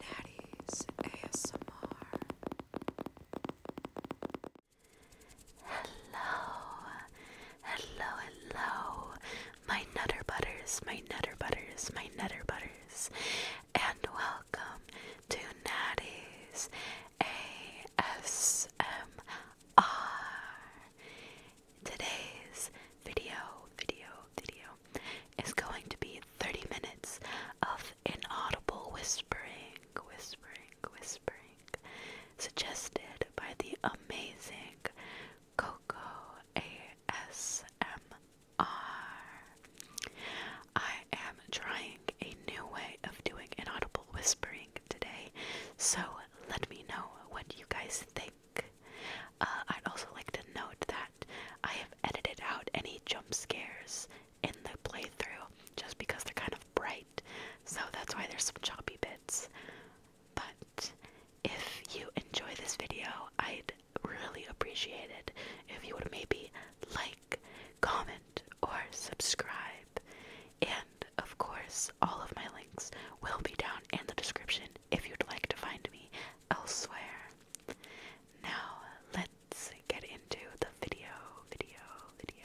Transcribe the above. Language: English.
Natty's ASMR. Hello, hello, hello, my Nutter Butters, my Nutter Butters, my Nutter Butters, and welcome to Natty's ASMR. Today's video, video, video, is going to be 30 minutes of inaudible whispering, whispering, whispering, suggested by the amazing Coco ASMR. I am trying a new way of doing inaudible whispering today, so let me know what you guys think. Uh, I'd also like to note that I have edited out any jump scares in the playthrough just because they're kind of bright, so that's why there's some choppy bits. But if you enjoy this video, I'd really appreciate it if you would maybe like, comment, or subscribe. And of course, all of my links will be down in the description if you'd like to find me elsewhere. Now let's get into the video, video, video.